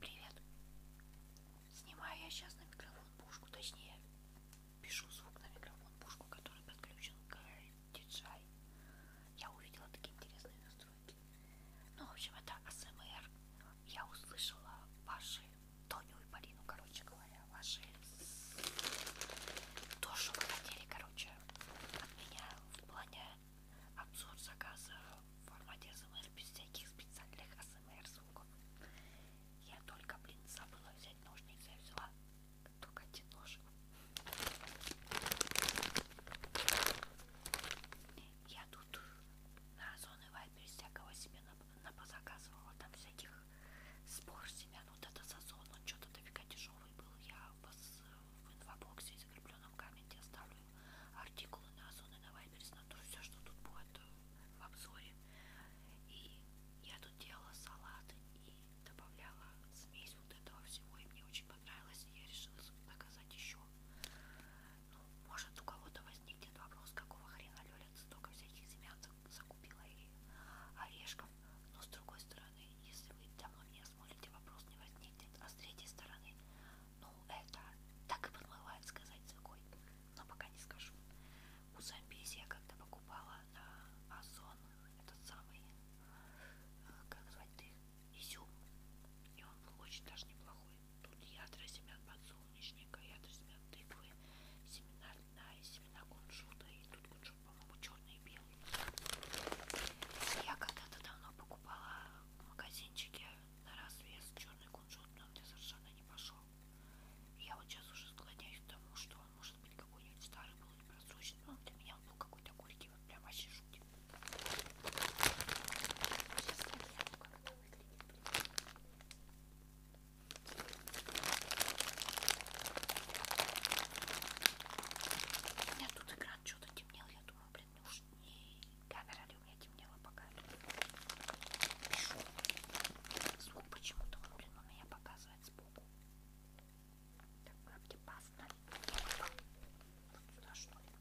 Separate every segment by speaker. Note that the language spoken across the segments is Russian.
Speaker 1: Привет. Снимаю я сейчас на микрофон пушку, точнее, пишу звук на микрофон пушку, который подключен к DJI. Я увидела такие интересные настройки. Ну, в общем, это АСМР. Я услышала ваши Тоню и Марину, короче говоря, ваши то, что вы хотели, короче, от меня в плане обзор заказа в формате СМР без всяких специальных СМР звуков. Я только, блин, забыла взять ножницы, я взяла только один нож. Я тут на Озон и Вайбере всякого себе напозаказывала, там всяких спор семян, ну, вот это сазон, он что-то дофига тяжелый был, я вас в инфобоксе и закрепленном комменте оставлю артикулы на Озон и на Вайберс, на то все, что тут будет э, в обзоре. И я тут делала салат и добавляла смесь вот этого всего, и мне очень понравилось, и я решила заказать еще. Ну, может у кого-то возникнет вопрос, какого хрена Лёля столько всяких семян закупила и орешков, но с другой стороны, если вы давно меня смотрите, вопрос не возникнет, а с третьей стороны, ну, это так и подмывает сказать такой, но пока не скажу. У Замбези я когда покупала на Озон этот самый, э, как звать ты, изюм, и он был очень даже неплохой. Тут ядра семян подсолнечника, ядра семян тыквы, семена льна и семена кунжута, и тут кунжут, по-моему, черный и белый. Я когда-то давно покупала в магазинчике на развес черный кунжут, но мне совершенно не пошел. Я вот сейчас уже склоняюсь к тому, что он может быть какой-нибудь старый был и просроченный, но для меня он был какой-то горький, вот прям вообще жутик. Сейчас смотрю, как это выглядит, блин. У меня тут экран что-то темнел, я думаю, блин, нужней. Камера ли у меня темнела пока? Пишу. Звук почему-то он, блин, у меня показывает сбоку. Так, как опасно. Вот сюда что ли?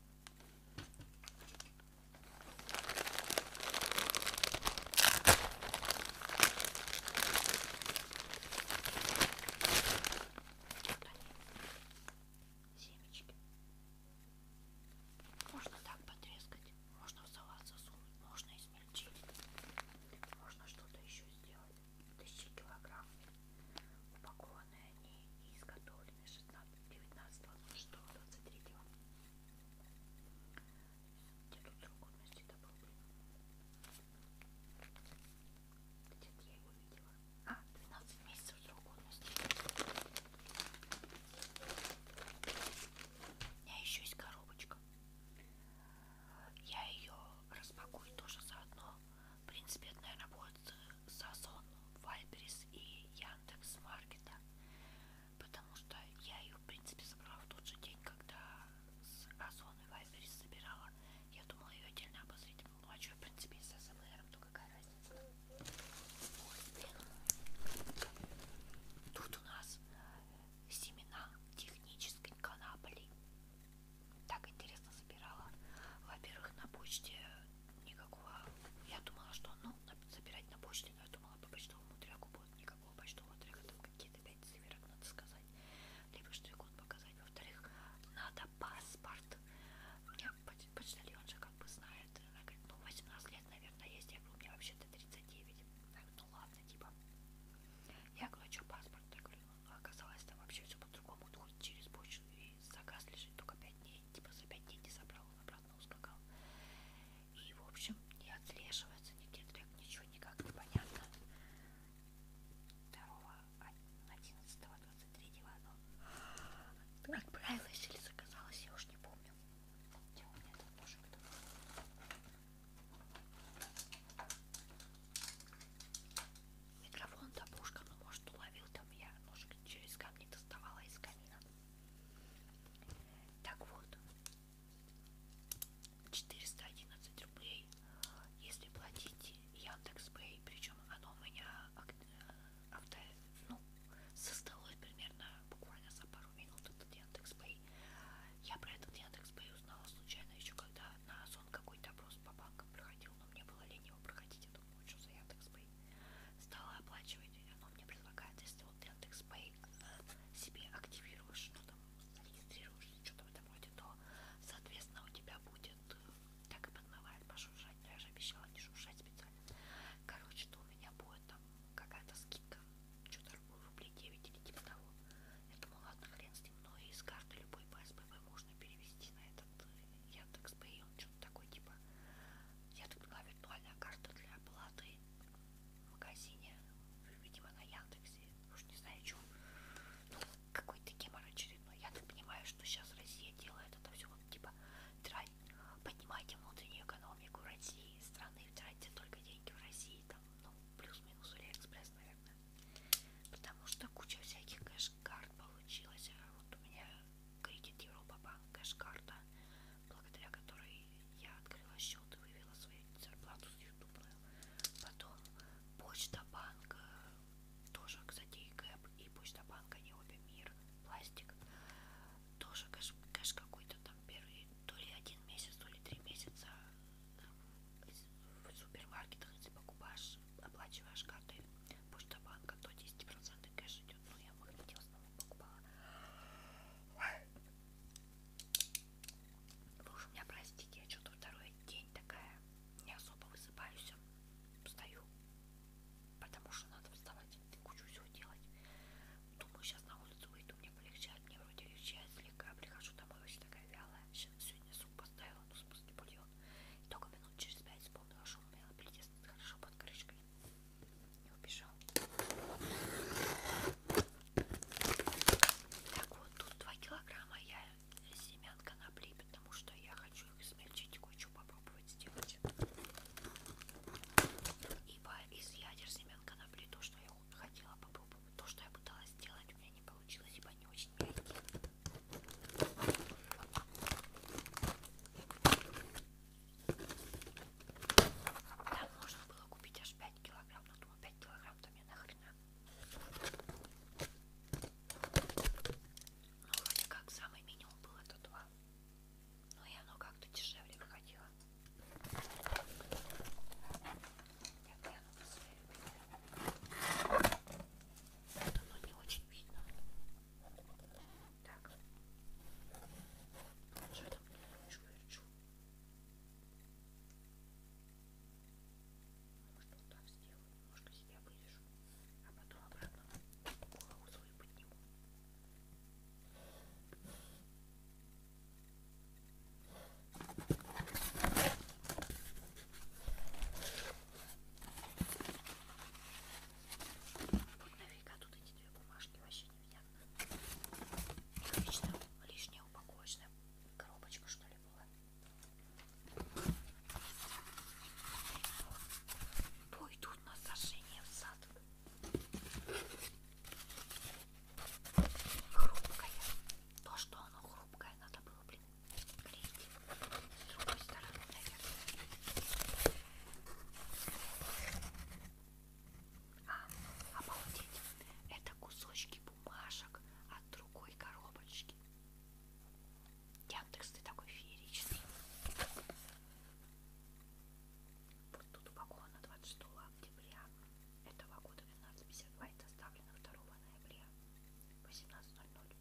Speaker 1: Семечки. Можно так потрескать, можно в салат засунуть, можно измельчить, можно что-то еще сделать. Тысячи килограмм. Упакованы они и изготовлены 16, 19, 26, 23. Где тут срок годности добыл? Где-то я его видела. 12 месяцев срок годности. У меня еще есть коробочка. Я ее распакую тоже заодно. В принципе, это, наверное, будет Сазон, Вайбрис и Яндекс Маркета. Потому что я ее, в принципе, собрала в тот же день, когда с Озон и Вайбрис собирала. Я думала ее отдельно обозрить. Ну, а что, в принципе, с СМР, то какая Тут у нас э, семена технической конопли. Так интересно собирала. Во-первых, на почте никакого... Я думала, что ну, собирать на почте, но я думала, по почтовому треку будет никакого почтового трека. Там какие-то пять циферок надо сказать. Либо штрих-код показать. Во-вторых, надо паспорт. Мне почтальон же как бы знает. Она говорит, ну 18 лет, наверное, есть. Я говорю, у меня вообще-то 39. Она говорит, ну ладно, типа. Я говорю, а что паспорт? Я говорю, ну, ну оказалось, там вообще все по-другому. Хоть через почту и заказ лежит только 5 дней. Типа за 5 дней не забрал, он обратно ускакал. И, в общем, не отслеживается нигде трек, ничего никак непонятно. 2 11 20 третьего оно отправилось или заказалось, я уж не помню. Где у меня этот ножик -то? Микрофон табушка, ну может уловил там я ножик через камни доставала из камина. Так вот, 411 рублей, если платить Яндекс.Пэй, причем оно у меня э, авто, ну, создалось примерно буквально за пару минут этот Яндекс.Пэй. Я про этот Яндекс.Пэй узнала случайно еще когда на Озон какой-то опрос по банкам проходил, но мне было лень его проходить, я думала, что за Яндекс.Пэй. Стала оплачивать, оно мне предлагает, если вот Яндекс.Пэй э, себе активируешь, ну там регистрируешь, что-то в этом роде, то, соответственно, у тебя будет э, так и подмывает пошуршать, но я же обещала не шуршать специально Короче, то у меня будет там какая-то скидка, что-то рублей 9 или типа того. Я думаю, ладно, хрен с ним, но из карты любой ПСБВ можно перевести на этот э, Яндекс.Пэй, он что-то такой, типа, я так поняла, виртуальная карта для оплаты в магазине, видимо, на Яндексе, уж не знаю, что. Ну, какой-то гемор очередной. Я так понимаю, что сейчас Россия делает это все вот типа трать, поднимайте внутреннюю экономику России, страны, тратьте только деньги в России, там, ну, плюс-минус Алиэкспресс, наверное. Потому что куча всяких кэш-карт получилась. А вот у меня кредит Европа Банк, кэш-карта, благодаря которой я открыла счет и вывела свою зарплату с Ютуба. Потом почта банка, тоже, кстати, и Гэп, и почта банка, не обе мир, пластик тоже кэш, кэш какой-то там первый, то ли один месяц, то ли три месяца в супермаркетах, если покупаешь, оплачиваешь картой Почта-банка, то 10% кэш идет. Ну, я, может быть, в основном покупала. Вы ну, уж меня простите, я что-то второй день такая, не особо высыпаюсь, а встаю, потому что надо вставать, кучу всего делать. Думаю, сейчас на улицу выйду, мне полегчает, мне вроде легчает слегка, прихожу домой, вообще такая вялая. Сегодня суп поставила, ну, в смысле бульон. И только минут через пять вспомнила, что умела притеснуть хорошо под крышкой. И убежал. Так вот, тут 2 килограмма я семян конопли, потому что я хочу их смельчить кучу хочу попробовать сделать ибо из ядер семян конопли то, что я хотела попробовать, то, что я пыталась сделать, у меня не получилось, ибо они очень мягкие. Там можно было купить аж 5 килограмм, но думаю, 5 килограмм-то мне нахрена. Ну, вроде как самый минимум был это 2 но ну, и оно ну, как-то дешевле выходило. Так, я оно Оно не очень видно. Так. Что там? Ручку верчу. Может, вот так сделаю. Немножко себя вырежу. А потом обратно голову свою подниму. Нафига тут эти две бумажки вообще непонятно. Лично лишняя упаковочная коробочка что ли была. Пойдут на сожжение в сад. Хрупкое. То, что оно хрупкое, надо было, блин, клеить с другой стороны, наверное. А, обалдеть. Это кусочки бумажек от другой коробочки. Яндекс, ты такой фееричный. Вот тут упаковано 26 октября этого года 12.52 и доставлено 2 ноября 18.00.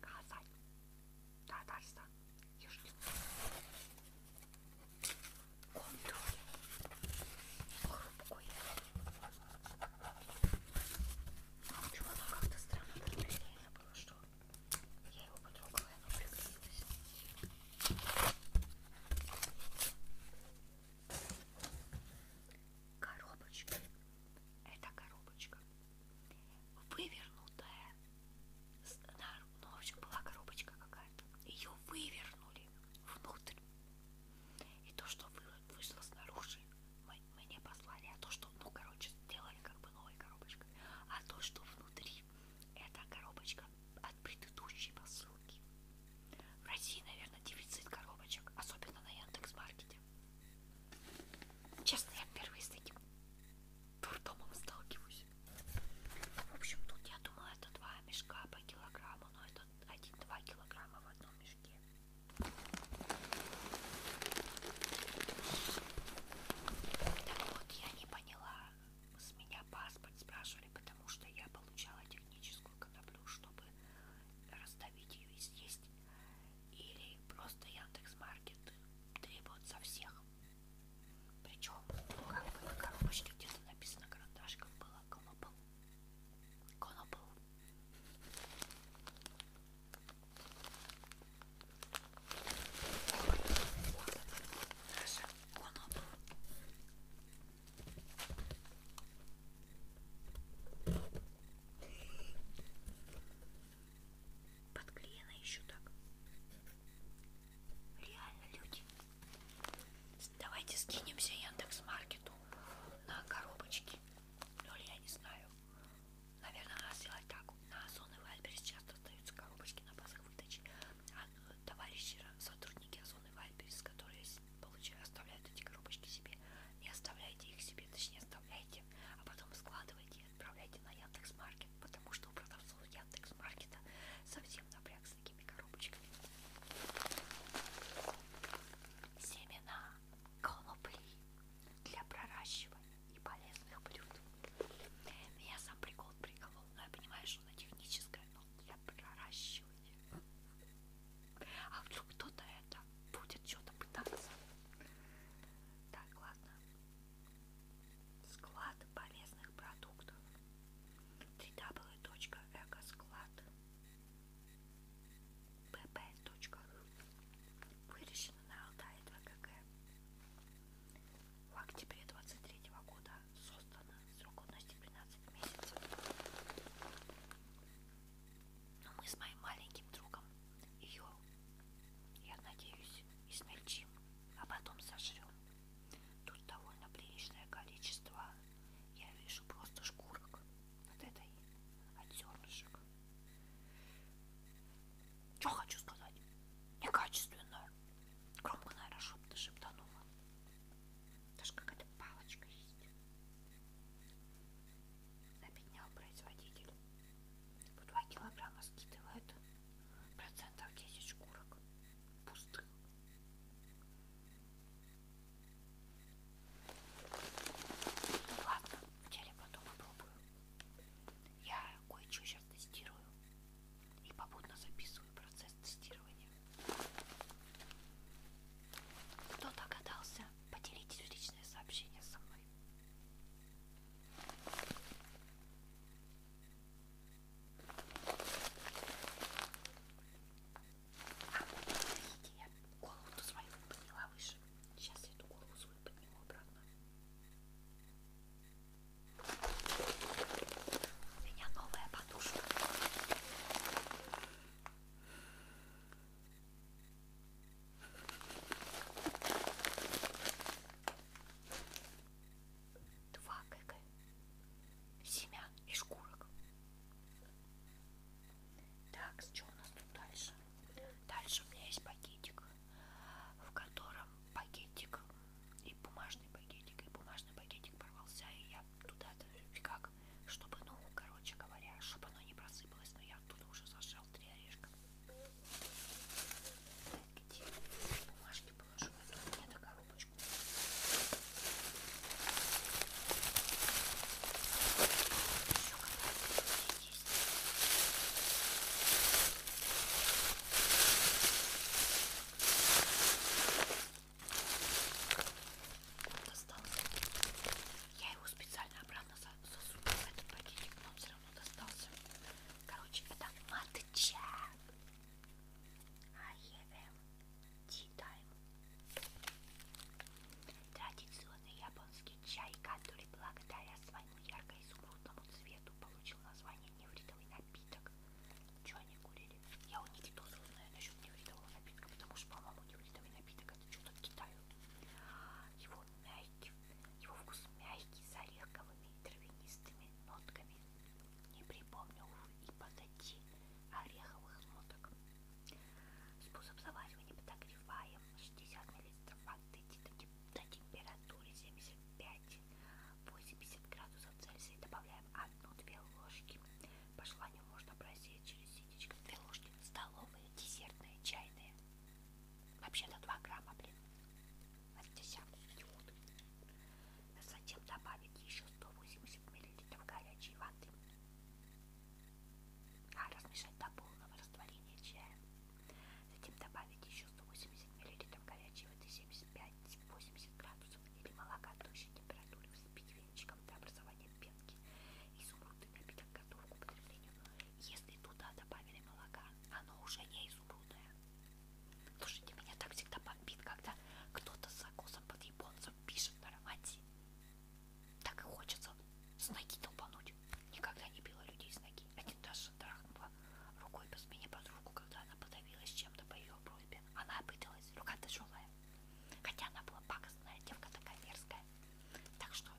Speaker 1: Казань, Татарстан, Южный. Контур. Хрупкой. Почему-то как-то странно, я забыла, что я его потрогала, и оно приклеилось. Коробочка. Это коробочка. Вывернутая. Ну, в общем, была коробочка какая-то. Ее вывернули внутрь. И то, что вышло снаружи, мы, мне послали. А то, что, ну, короче, сделали как бы новой коробочкой. А то, что внутри это коробочка от предыдущей посылки. В России, наверное, дефицит коробочек, особенно на Яндекс.Маркете. Честно, я впервые с таким турдомом сталкиваюсь. В общем, тут, я думала, это два мешка по килограмму, но это 1-2 килограмма в одном мешке. Так вот, я не поняла, с меня паспорт спрашивали, потому что я получала техническую коноплю, чтобы раздавить ее и съесть. Или просто Яндекс.Маркет требует со всех. Причем, ну, как бы на коробочке где-то написано карандашком было конопл. Конопл. Наша вон он подклеена еще так реально люди давайте скинемся яндекс маркету на коробочки ну я не знаю наверное надо сделать так на озон и вальберес часто остаются коробочки на базах выдачи а, товарищи, сотрудники Озон и Вайберис, которые получают, оставляют эти коробочки себе, не оставляйте их себе, точнее оставляйте, а потом складывайте и отправляйте на Яндекс.Маркет, потому что у продавцов Яндекс.Маркета совсем напряг с такими коробочками. Семена конопли для проращивания и полезных блюд. Меня сам прикол приколол, но я понимаю, хорошо на техническое, но для проращивания. А вдруг кто-то это будет что-то пытаться. Так, ладно. Склад полезных продуктов. www.экосклад pp.ru Выращено на Алтае 2 КГ. В октябре 23 года создана срок годности 15 месяцев. Но мы с моим маленьким другом ее, я надеюсь, измельчим, а потом сожрем. Тут довольно приличное количество, я вижу просто шкурок от этой, от зернышек. Что хочу сказать? Некачественно Громко, наверное, шепот шептанула. Даже какая-то палочка есть. Обеднял производитель. По 2 килограмма скидывает процентов 10 шкурок пустых. Ну ладно, в деле потом попробую. Я кое-что сейчас тестирую и попутно записываю процесс тестирования. Кто догадался, поделитесь в личное сообщение со мной. А вот видите, я голову-то свою подняла выше. Сейчас я эту голову свою подниму обратно. У меня новая подушка. Два кг семян и шкурок. Так, что у нас тут дальше? Дальше у меня есть пакетик, в котором пакетик и бумажный пакетик, и бумажный пакетик порвался, и я туда-то как, чтобы, ну, короче говоря, чтобы оно не просыпалось, но я оттуда уже зажал три орешка. Где бумажки положу? Я а тут мне а коробочку. Еще какая-то есть. Ой, Достался. Я его специально обратно засунула в этот пакетик, но он все равно достался. Короче, это матча. I am tea time. Традиционный японский чай, который благодаря своему ярко-изумрудному цвету получил название невритовый напиток. Что они курили? Я у Никитоса узнаю насчет невредового напитка, потому что, по-моему, невредовый напиток это что-то Китаю. Его мягкий, его вкус мягкий, с ореховыми и травянистыми нотками. Не припомню, увы, и подойти ореховых ноток. Способ заваривания подогреваем 60 мл воды до температуры 75 печь. 80 градусов Цельсия добавляем 1-2 ложки. По желанию можно просеять через ситечко. 2 ложки столовые, десертные, чайные. Вообще-то 2 грамма, блин. От десятку идиот. А затем добавить еще 180 мл горячей воды. А размешать до полного растворения чая. Затем добавить еще 180 мл горячей воды 75 градисе 80 градусов или молока тощей температуре вспить венчиком до образования пенки. Изумрудный напиток готов к употреблению. Если туда добавили молока, оно уже не изумрудное. Слушайте, меня так всегда бомбит, когда кто-то с закусом под японцем пишет на аромате. Так и хочется с ноги толпануть. Никогда не била людей с ноги. Один даже шандарахнула рукой по спине подругу, когда она подавилась чем-то по ее брови принципе. Она обиделась, рука тяжелая. Хотя она была пакостная, девка такая мерзкая. Так что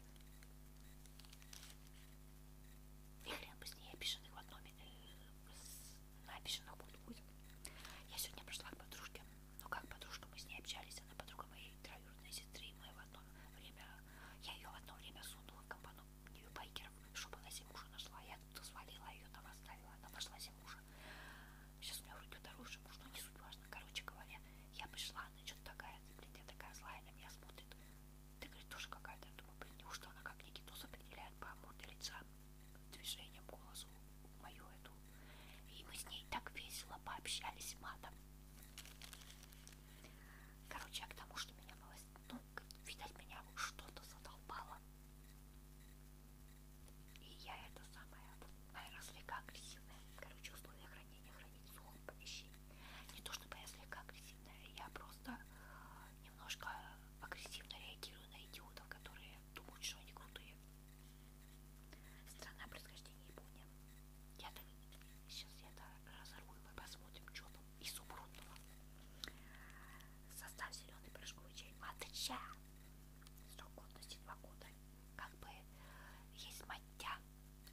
Speaker 1: и хрен бы с ней обиженных в одном э, на обиженных будет будет. Я сегодня пришла к подружке. Ну как подружка, мы с ней общались. Она подруга моей троюродной сестры. Мы в одно время, я ее в одно время сунула в компану нью байкеров, чтобы она себе мужа нашла. Я тут свалила ее, там оставила. Она нашла себе мужа. Сейчас у меня вроде второй уже муж, но не суть важно. Короче говоря, я пришла, она что-то такая, блядь, я такая злая, на меня смотрит. Ты, говорит, тоже какая-то. Я думаю, блин, неужто она как Никитос определяет по морде лица, движением, голосу мою эту. И мы с ней так весело пообщались матом. Короче, а к тому, что меня малость, ну, видать, меня что-то задолбало. И я это самое, наверное, слегка агрессивная. Короче, условия хранения хранить в сухом помещении. Не то чтобы я слегка агрессивная, я просто э, немножко агрессивно реагирую на идиотов, которые думают, что они крутые. Страна происхождения Япония. Я так... Сейчас я это разорву и мы посмотрим, что там из субрудного состав зеленый прыжковый чай матча срок годности два года как бы есть матья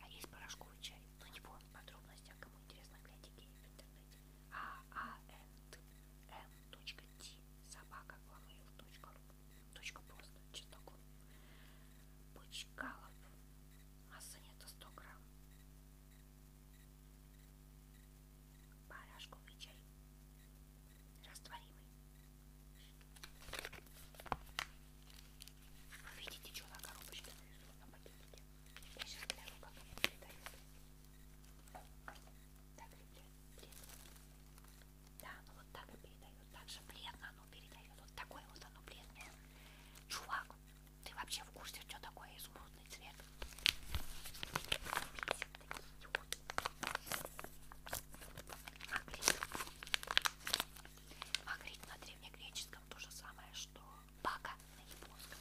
Speaker 1: а есть порошковый чай но ну, не помню подробности а кому интересно глядите в интернете а а н точка ти собака главмейл точка ру точка просто чесноком Бычкалов масса нету 100 грамм порошковый чай растворимый. Вы видите, что а на коробочке нарисовано на пакетике? Я сейчас гляну, как мне передают. Так, ребят, Да, ну вот так и передают. Так же бледно оно передает. Вот такое вот оно бледное. Чувак, ты вообще в курсе, что такое изумрудный цвет? Пить. Магрит. Магрит на древнегреческом то же самое, что бака на японском.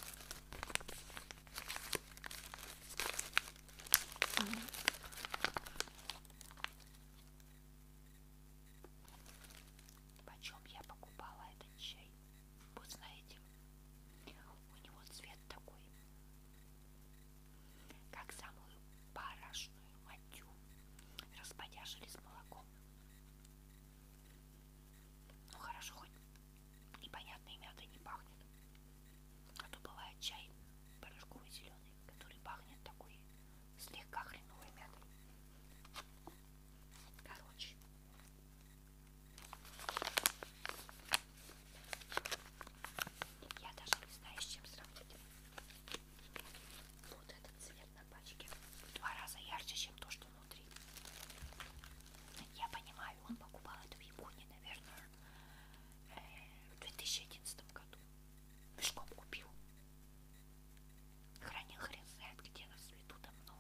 Speaker 1: Почем я покупала этот чай? Вы знаете, у него цвет такой как самую парашную матью, расподяжили с молоком. Ну хорошо, хоть непонятной мятой не пахнет. А то бывает чай порошковый зеленый, который пахнет такой слегка хреновой мятой. Короче. Я даже не знаю, с чем сравнить. Вот этот цвет на пачке в два раза ярче, чем то, что внутри. Я понимаю, он покупал это в Японии, наверное, э, в 2011 году. Мешком купил. Хранил хрен знает где на свету давно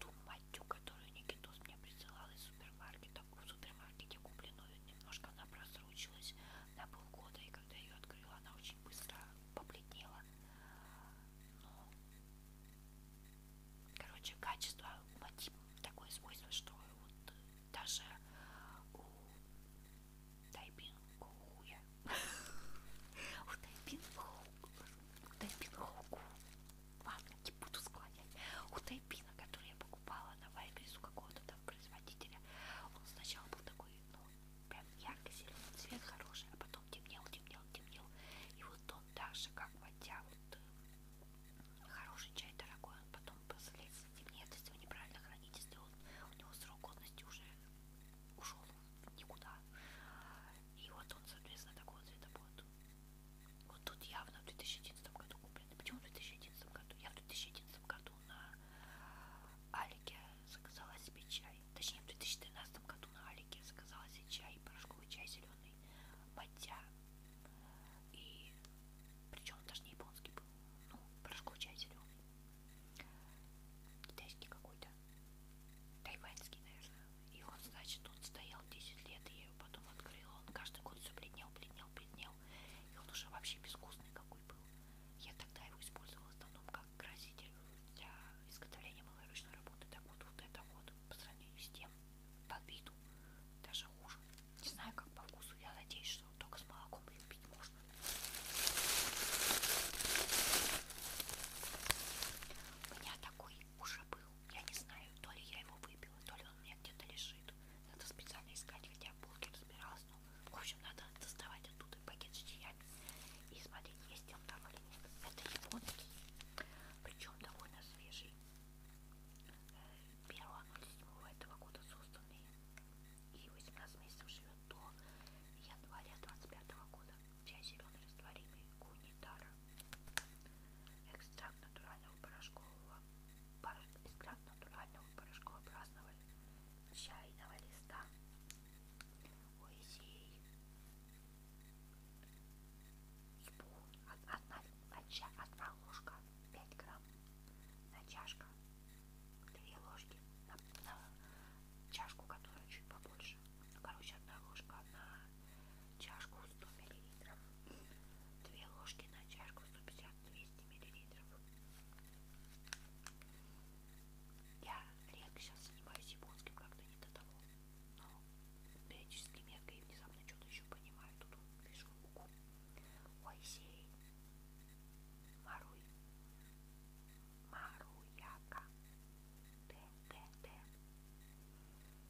Speaker 1: ту матью, которую Никитос мне присылал из супермаркета. В супермаркете купленную немножко она просрочилась на полгода, и когда ее открыла, она очень быстро побледнела. Но... Ну, короче, качество мати такое свойство, что вот даже у Тайпин-Хоуя у Тайпин-Хоуя вафельки буду склонять. У тайпина, который я покупала на вайберис у какого-то там производителя, он сначала был такой, ну, прям ярко-зеленый цвет хороший, а потом темнел, темнел, темнел. И вот он даже как водя вот э, хороший чай дорогой, он потом последствия темнеет, если его неправильно хранить, если он, у него срок годности уже ушел никуда. И вот он, соответственно, такого цвета будет. Вот тут явно в 2011 году куплено. Почему в 2011 году? Я в 2011 году на Алике заказала себе чай. Точнее, в 2013 году на Алике заказала себе чай, порошковый чай зеленый, матья. И причем даже не японский был. Ну, порошковый чай зеленый. Китайский какой-то. Тайваньский, наверное. И он, значит, он стоял 10 лет, и я его потом открыла. Он каждый год все бледнел, бледнел, бледнел. И он уже вообще безвкусный какой был. Я тогда его использовала в основном как краситель для изготовления малоручной работы. Так вот, вот это вот, по сравнению с тем, по виду, даже хуже. Не знаю, как по вкусу. Я надеюсь, что только с молоком ее пить можно. У меня такой уже был. Я не знаю, то ли я его выпила, то ли он у меня где-то лежит. Надо специально искать, хотя в полке разбиралась. Но, ну, в общем, надо доставать оттуда пакет с чаями и смотреть, есть он там или нет. Это японский, причем довольно свежий. 1 -го этого года созданный и 18 месяцев живет до января 25 -го года. Чай зеленый растворимый, гунитара. Экстракт натурального порошкового экстракт натурального порошкообразного чайного листа Уизей Спун одна, одна ложка 5 грамм на чашка 2 ложки на, на чашку, которая чуть побольше короче одна ложка на чашку 100 мл, 2 ложки на чашку 150-200 мл. Я редко сейчас занимаюсь японским, как-то не до того, но периодически мелко и внезапно что-то еще понимаю. Тут вижу луку, ойсей, маруй, маруяка, т, т, т.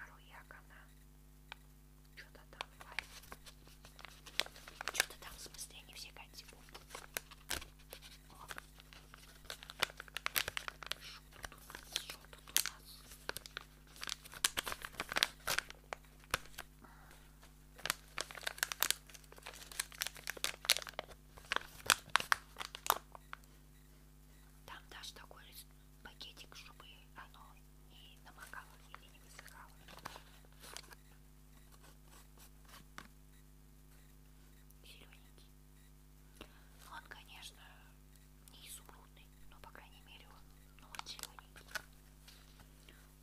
Speaker 1: Ару Якона. Что-то там Что-то там, в смысле, не все конти будут. Что тут у нас? Что тут у нас? Там даже такой пакетик, чтобы оно не намокало или не высыхало. Зелененький. Он, конечно, не изумрудный, но, по крайней мере, он, ну, он зелененький.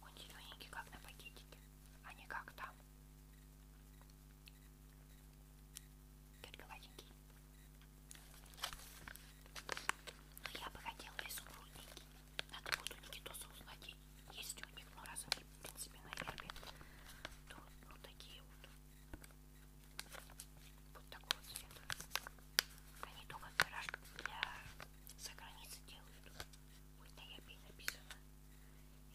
Speaker 1: Он зелененький, как на пакетике, а не как там горьковатенький. Но ну, я бы хотела изумрудненький. Надо будет у Никитоса узнать, есть у них, но ну, раз они, в принципе, на гербе, то ну, такие вот. Вот такого цвета. Они только гараж для за границы делают. Хоть на Япе написано.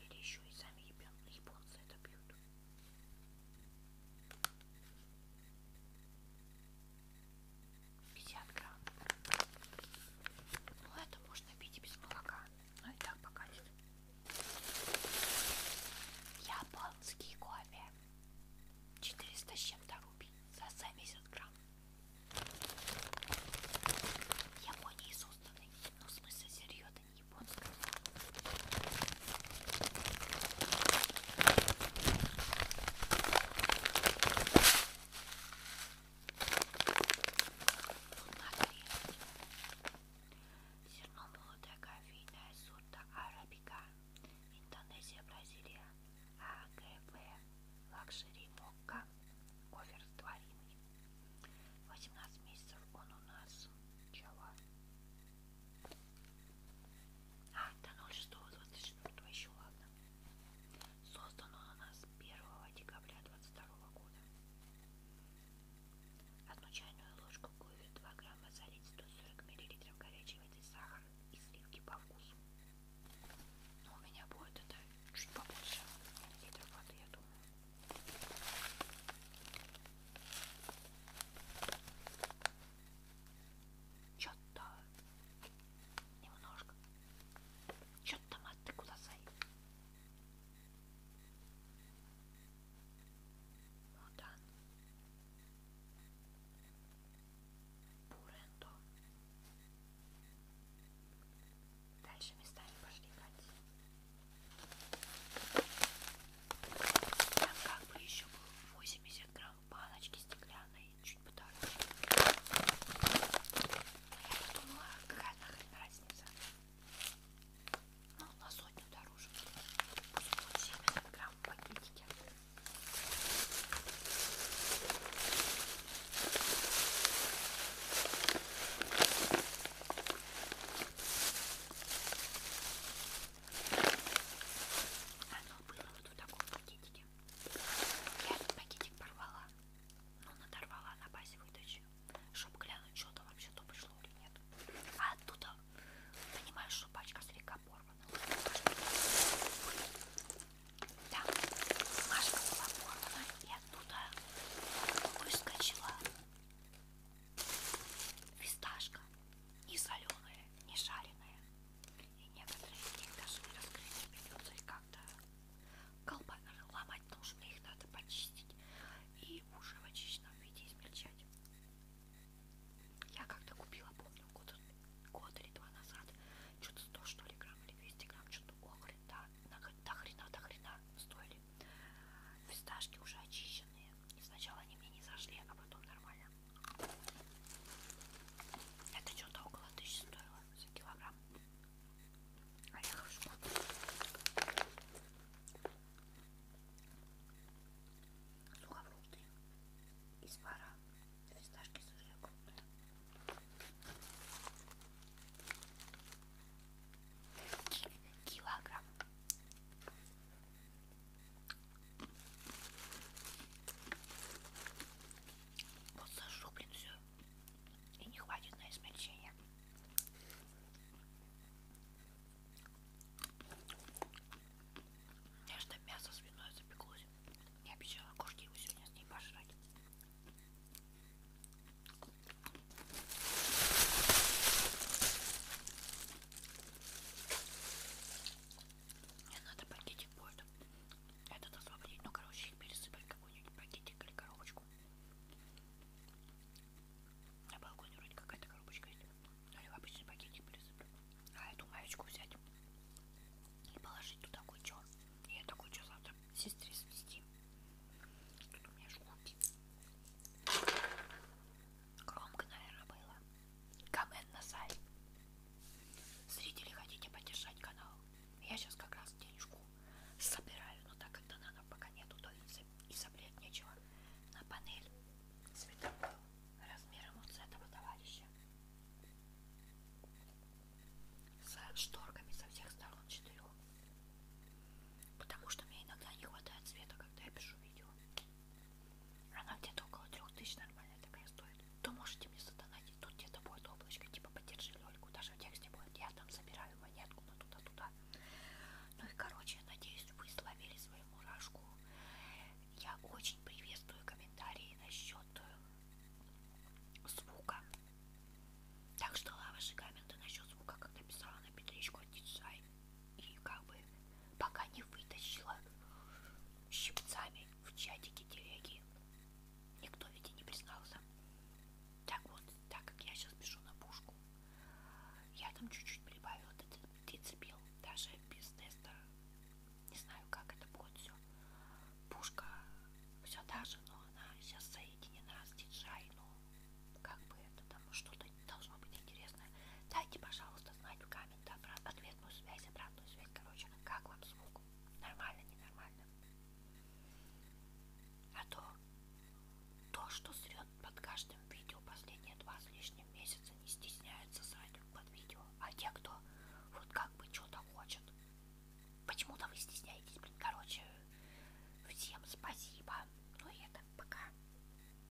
Speaker 1: Или еще и сами японцы это пьют. 50 грамм. Ну это можно пить и без молока. Но ну, и так покатит. Японский кофе. 400 с чем-то рупий за 70 грамм. В Японии созданный, ну в смысле серьезно, это не японская. Зерно молотая кофейная сорта арабика. Индонезия, Бразилия. АГБ. Лакшери Мокка. Кофер с тваринами. 18 месяцев он у нас. Чего? А, до 06.24 еще ладно. Создано у нас 1 декабря 22 года. Одну чайную ложку кофе 2 грамма залить 140 мл горячей воды, сахар и сливки по вкусу. Но ну, у меня будет это чуть побольше литров воды, я думаю. Что-то немножко. Что-то маты куда сай. Мудан. Буренто. Дальше местами пошли катить. Там как бы еще был 80 грамм баночки стеклянной, чуть подороже. Я подумала, какая нахрен разница. Ну, на сотню дороже. Пусть будет 70 грамм в пакетике. Оно было вот в таком пакетике. Я этот пакетик порвала. Ну, надорвала на базе выдачи. Чтобы глянуть, что там вообще-то пришло или нет. А оттуда, понимаешь, что пачка слегка порвана. Да, бумажка была порвана, и оттуда выскочила Фисташка не соленая, не жареная. И некоторые из них даже не раскрыть придется их как-то колба ломать нужно, их надо почистить и уже в очищенном виде измельчать. Я как-то купила, помню, год, год или два назад, что-то 100 что ли грамм или 200 грамм, что-то охрен, да, до хрена, до хрена стоили были. Фисташки уже очищенные. И сначала они мне не зашли, а потом нормально. Это что-то около тысячи стоило за килограмм. Орехов а шмот. Сухофрукты из пара. Фисташки сырые крупные. Килограмм вот сожжу, блин, все. И не хватит на измельчение. Я что мясо свиное запеклось. Я обещала кошки его сегодня с ней пожрать. Мне надо ну пакетик будет этот освободить. Ну, короче, их пересыпать в какой-нибудь пакетик или коробочку. На балконе вроде какая-то коробочка есть. Ну, или в обычный пакетик пересыпать. А эту маечку взять и положить туда кучу. И я такой что завтра сестре свести. Тут у меня жгут. Громко, наверное, было. Коммент на сайт. Зрители, хотите поддержать канал? Я сейчас как раз денежку собираю, но так как надо, пока нету, то и собрать нечего. На панель цветок был размером вот с этого товарища. С шторками со всех сторон четырех. Потому что мне иногда не хватает света, когда я пишу видео. Она где-то около трех тысяч нормально такая стоит. То можете мне задонатить, тут где-то будет облачко, типа поддержи Лёльку, даже в тексте будет. Я там собираю монетку на туда-туда. Ну и короче, надеюсь, вы словили свою мурашку. Я очень приветствую комментарии насчет э, звука. Так что ваши комменты насчет звука, как написала на петличку, отдельно и как бы пока не вытащила щипцами в чатике телеги. Никто ведь и не признался. Так вот, так как я сейчас пишу на пушку, я там чуть-чуть прибавила децибел, даже без теста. Не знаю, как это будет все. Пушка все даже, но она сейчас соединена с диджай, ну как бы это там что-то должно быть интересно. Дайте, пожалуйста, знать в комментах ответную связь, обратную связь. Короче, как вам звук? Нормально, ненормально? А то, то, что срет под каждым видео последние два с лишним месяца, не стесняется срать под видео. А те, кто вот как бы что-то хочет, почему-то вы стесняетесь, блин, короче, всем спасибо. Ну и это пока.